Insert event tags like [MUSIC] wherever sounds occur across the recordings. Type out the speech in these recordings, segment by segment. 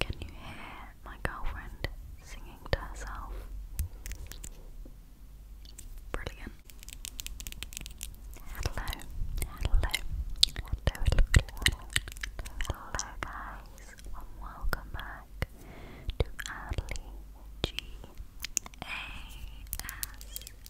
Can you hear my girlfriend singing to herself? Brilliant. Hello, hello, hello, hello, hello, guys, and welcome back to Adley G A S M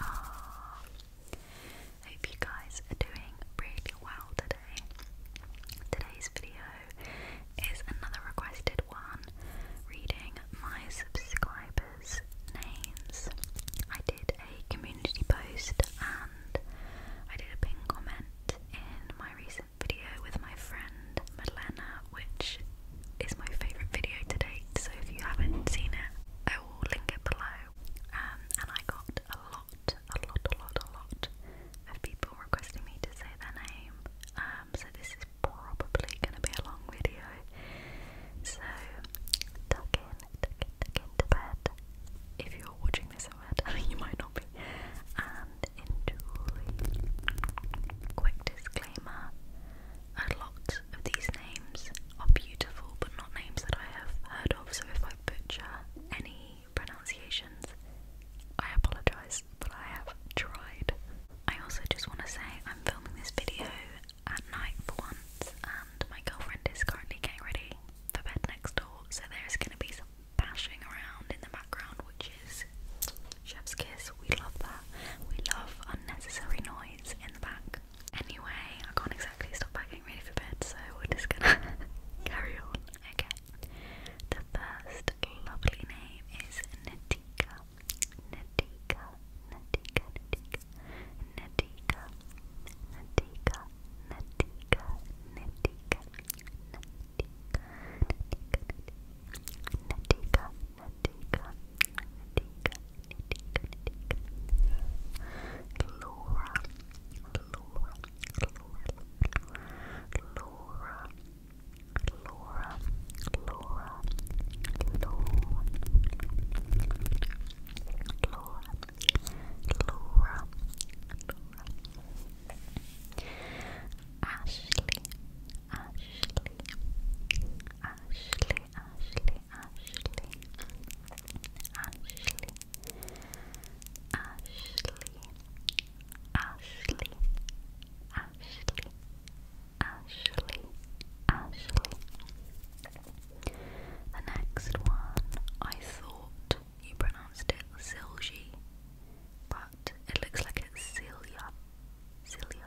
R. Hope you guys are doing really well today. Today's video is another requested one reading my subscribers' names. I did a community post and I did a pinned comment in my recent video with my friend Madlena, which is my favourite video to So if you haven't seen it, I will link it below um, and I got a lot, a lot, a lot, a lot of people requesting me to say their name. Um, so this is probably going to be a long video. So tuck in, tuck in, tuck in to bed. If you're watching this [LAUGHS] in you might not be. And enjoy. Quick disclaimer: a lot of these names are beautiful, but not names that I have heard of, so if I butcher any pronunciations, I apologise, but I have tried. I also just want to say I'm filming this video at night for once, and my girlfriend is currently getting ready for bed next door, so there's going to be some bashing around in the background, which is chef's kiss. We love that. We love unnecessary noise in the back. Anyway, I can't exactly stop by getting ready for bed, so we're just gonna [LAUGHS] carry on. Okay. The first lovely name is Natika. Natika. Natika. Natika. Natika. Natika. Natika. Natika. Natika. Natika. Natika. Laura, Laura, Laura, Laura, Laura, Laura, Laura, Laura, Ashley, Ashley, Ashley, Ashley, Ashley, Ashley, Ashley, Ashley, Ashley, Ashley, Ashley. The next one, I thought you pronounced it Silgy, but it looks like it's Celia, Celia,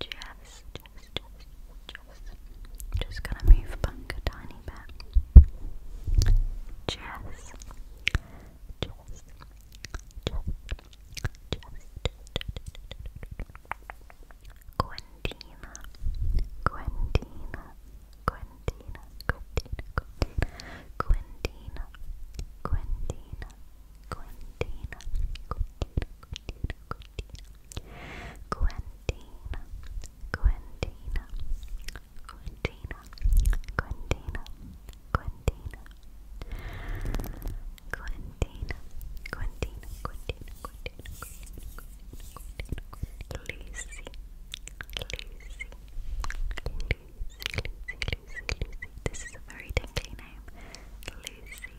just, just, just, just, just gonna move back tiny bit. Just, just, just, just. Quentina, Quentina, Quentina, Quentina, Quentina, Quentina, Quentina, Gwentina, Gwentina, Gwentina, Gwentina, Gwentina, Gwentina, Gwentina, Gwentina, Gwentina, Lizzie, Lizzie, Lizzie, Lizzie, Lizzie, Lizzie. This is a very tempting name. Lizzie,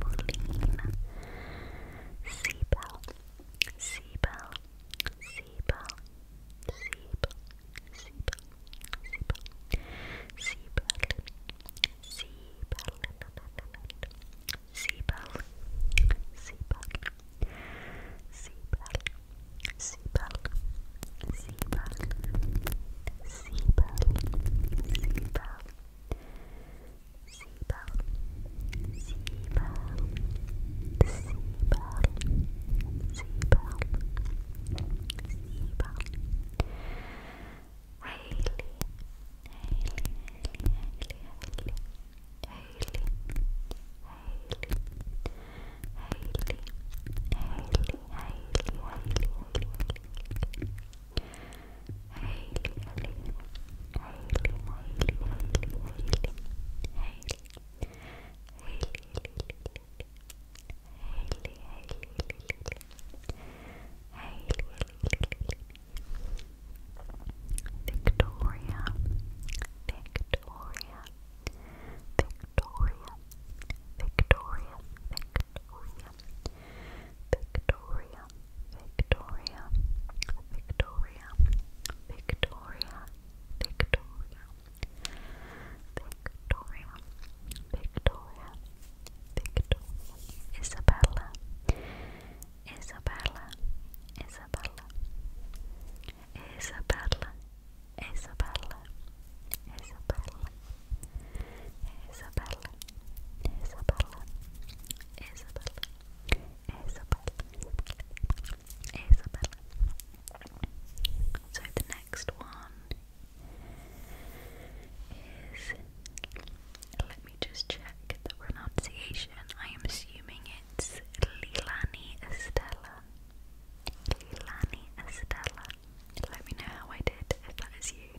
Pauline, Seabell, Seabell, Seabell, Seabell, Seabell, Seabell, Seabell, Seabell, Seabell, Seabell, Seabell, Seabell, Seabell, Seabell, Seabell, Haley, Haley, Haley, Haley, Haley, Haley, Haley, Haley, Haley, Haley, Haley, Haley, Haley, Haley, Haley, Haley, Haley, Haley, Hayley, Hayley, Hayley, Hayley, Hayley, Hayley, Hayley, Hayley, Victoria, Victoria, Victoria, Victoria, Victoria, Victoria, Victoria, Victoria, Victoria, Victoria, Victoria, Victoria, Victoria, Isabella, Isabella, Isabella, Isabella, Isabella, Isabella, Isabella, Isabella, So the next one is. Let me just check the pronunciation. I am assuming it's Lilani Estella. Lilani Estella. Let me know how I did if that is you.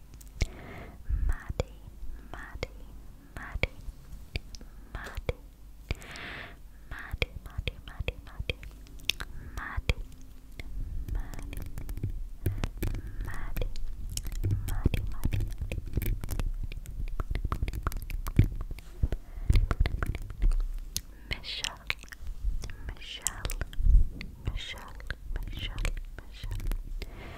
Maddie, Maddie, Maddie, Maddie, Maddie, Maddie, Maddie, Maddie, Maddie, Maddie, Maddie, Maddie, Maddie, Maddie, Michelle, Michelle, Michelle, Michelle, Michelle,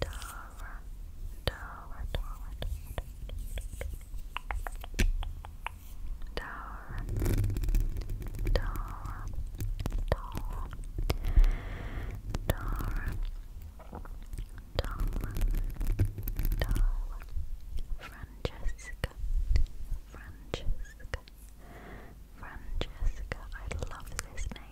Dover, Dover, Dover, Dover, Dover, Dover, Dover, Dover, Dover, Francesca, Francesca, Francesca, I love this name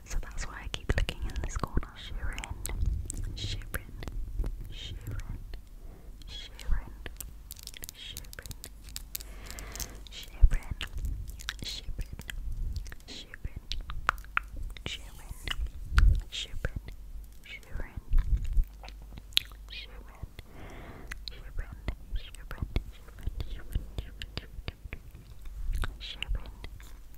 so that's why I keep looking in this corner. Shirin, Shirin, Shirin, Shirin, Shirin, Shirin, Shirin, Shirin, Shirin, Shirin, Shirin, Shirin, Shirin, Shirin, Shirin, Shirin, Shirin, Shirin,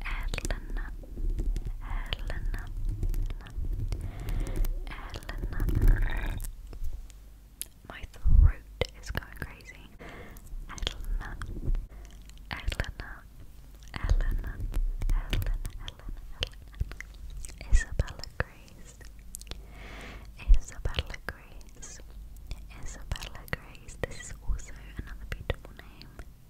Elena, Elena, Elena. My throat is going crazy. Elena, Elena, Elena, Elena, Elena, Isabella Grace, Isabella Grace, Isabella Grace. This is also another beautiful name.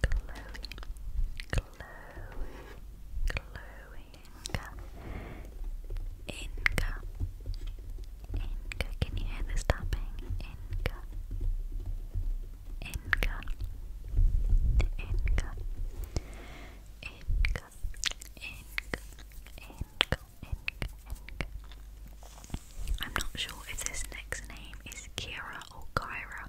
glowing, glowing, glowing. Inca, Inca. Can you hear this tapping? Inca, Inca, Inca, Inca, Inca, Inca, Inca, Inca. I'm not sure if this next name is Kira or Kyra.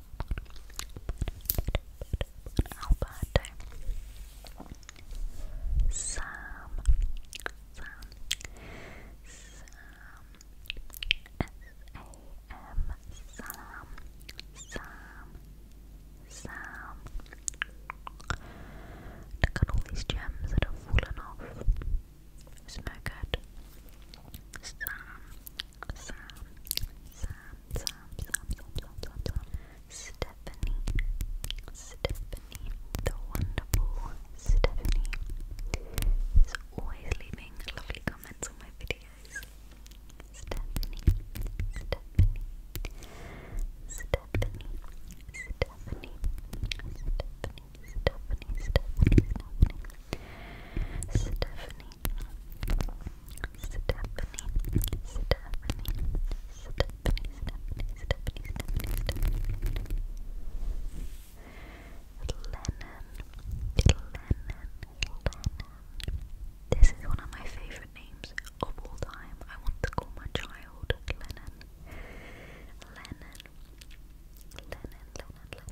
Alberto Sam Sam Sam S-A-M Sam Sam Sam Look at all these gems that have fallen off. It's Sam Sam, Sam, Sam, Sam, Sam, Sam, Sam, Stephanie, Stephanie, the wonderful Stephanie is always leaving lovely comments on my videos. Stephanie, Stephanie, Stephanie, Stephanie, Stephanie, Stephanie, Stephanie, Stephanie. Stephanie, Stephanie, Stephanie, Stephanie, Stephanie, Stephanie. Lennon, Lennon, Lennon. This is one of my favorite names of all time. I want to call my child Lennon. Lennon, Lennon, Lennon, Lennon.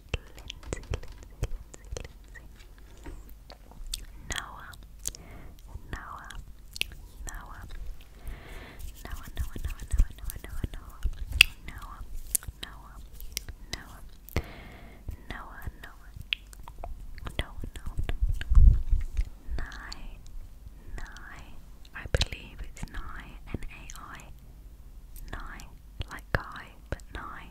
Lindsay, Lindsay, Lindsay. Noah, Noah, Noah, Noah, Noah, Noah, Noah, Noah, Noah, Noah, Noah, Noah, Noah, Noah, Noah, Noah, Noah, Noah, Nine, nine. I believe it's nine and AI. Nine, like guy, but nine.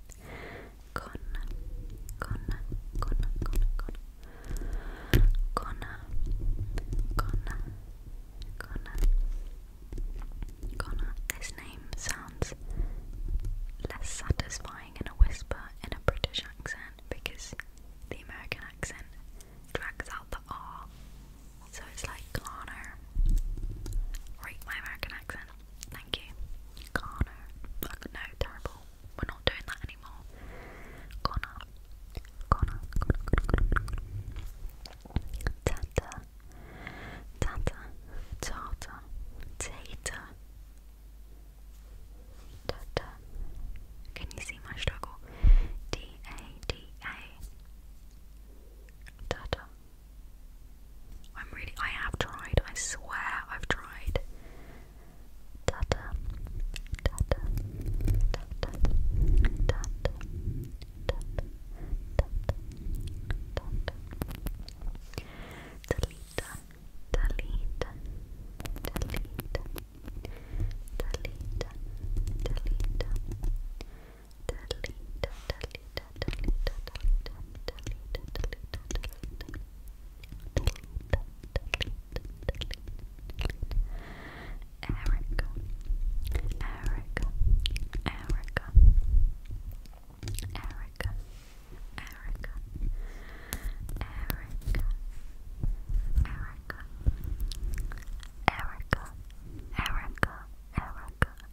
con con con con con con con con con this name sounds less satisfying in a whisper in a British accent because the American accent drags out the R so it's like Connor rate my American accent Thank you. Connor. No, terrible. We're not doing that anymore. Connor. Connor. Connor. Connor. Tata. Tata. Tata. Can you see my struggle? D A D A. Tata. I'm really, I have tried, I swear I've tried totally, Erica, Erica, Erica, Erica, Erica, Erica, Erica, Erica, Erica, Erica,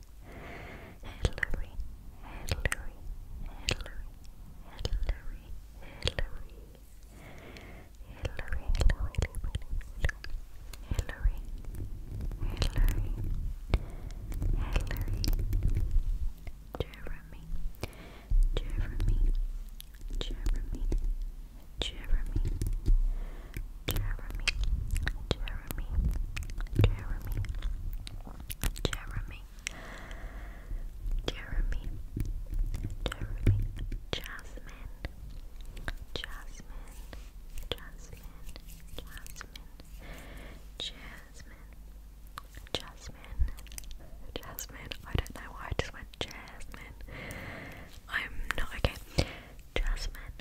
Hillary, Hillary, Hillary, Hillary, Hillary, Hillary, Hillary, Hillary, Hillary, Hillary, Jeremy, Jeremy, Jeremy, Jeremy, Jeremy, Jeremy, Jeremy, Jeremy, Jeremy, Jeremy, Jasmine, Jasmine, Jasmine, Jasmine, Jasmine, Jasmine, Jasmine. I don't know why I just went Jasmine. I'm not okay. Jasmine.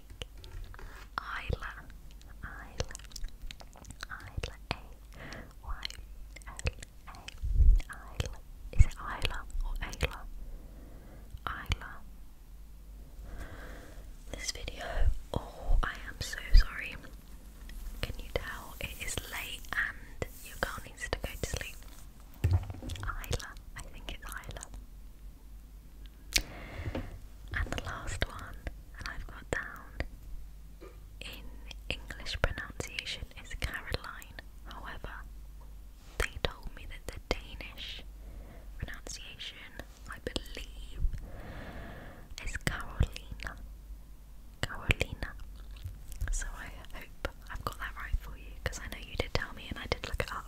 Isla, Isla, Isla, A Y L A, Isla. Is it Isla or Ayla? Isla. This video, oh, I am so sorry. Can you tell it is late and your girl needs to go to sleep? Isla, I think it's Isla. And the last one that I've got down in English pronunciation is Caroline. However, they told me that the Danish pronunciation, I believe, is Carolina. Carolina. So I hope I've got that right for you because I know you did tell me and I did look it up.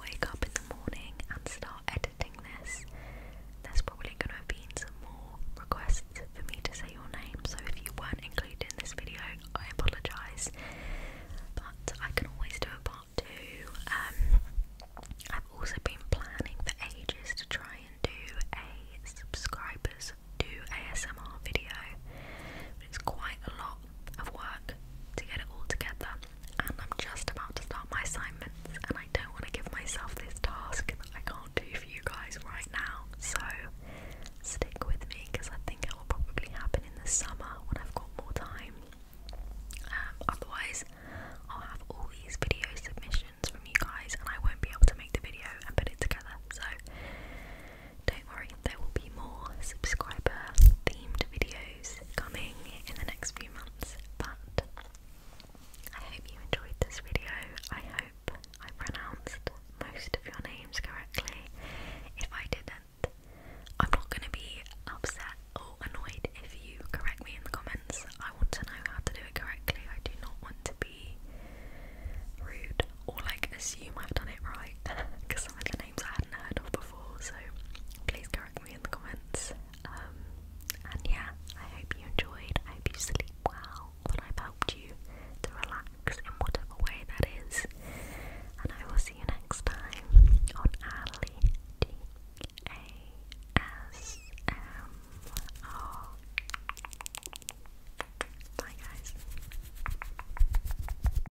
wake up in the morning and start editing this. There's probably going to have some more requests for me to say your name, so if you weren't included in this video, I apologise. But I can always do a part two. Um, I've also been planning for ages to try and do a subscribers do ASMR video, it's quite a lot of work to get it all together, and I'm just about to start my assignments, and I don't want to give myself this task that I can't do for you guys right now. So stick with me because I think it will probably happen in the summer when I've got more time. Um, otherwise, I'll have all these video submissions from you guys, and I won't be able to make the video and put it together. So, don't worry, there will be more subscriber themed videos coming in the next few months, but I hope you enjoyed this video. I hope I pronounced most of your names correctly. If I didn't, I'm not going to be upset or annoyed if you correct me in the comments. I want to know how to do it correctly. I do not want to be rude or like assume I've done it right because [LAUGHS] some of the names I hadn't heard of before before, so please correct me in the comments. Um, and yeah, I hope you enjoyed. I hope you sleep well, that I've helped you to relax in whatever way that is. And I will see you next time on Ali D A S M R. Bye, guys.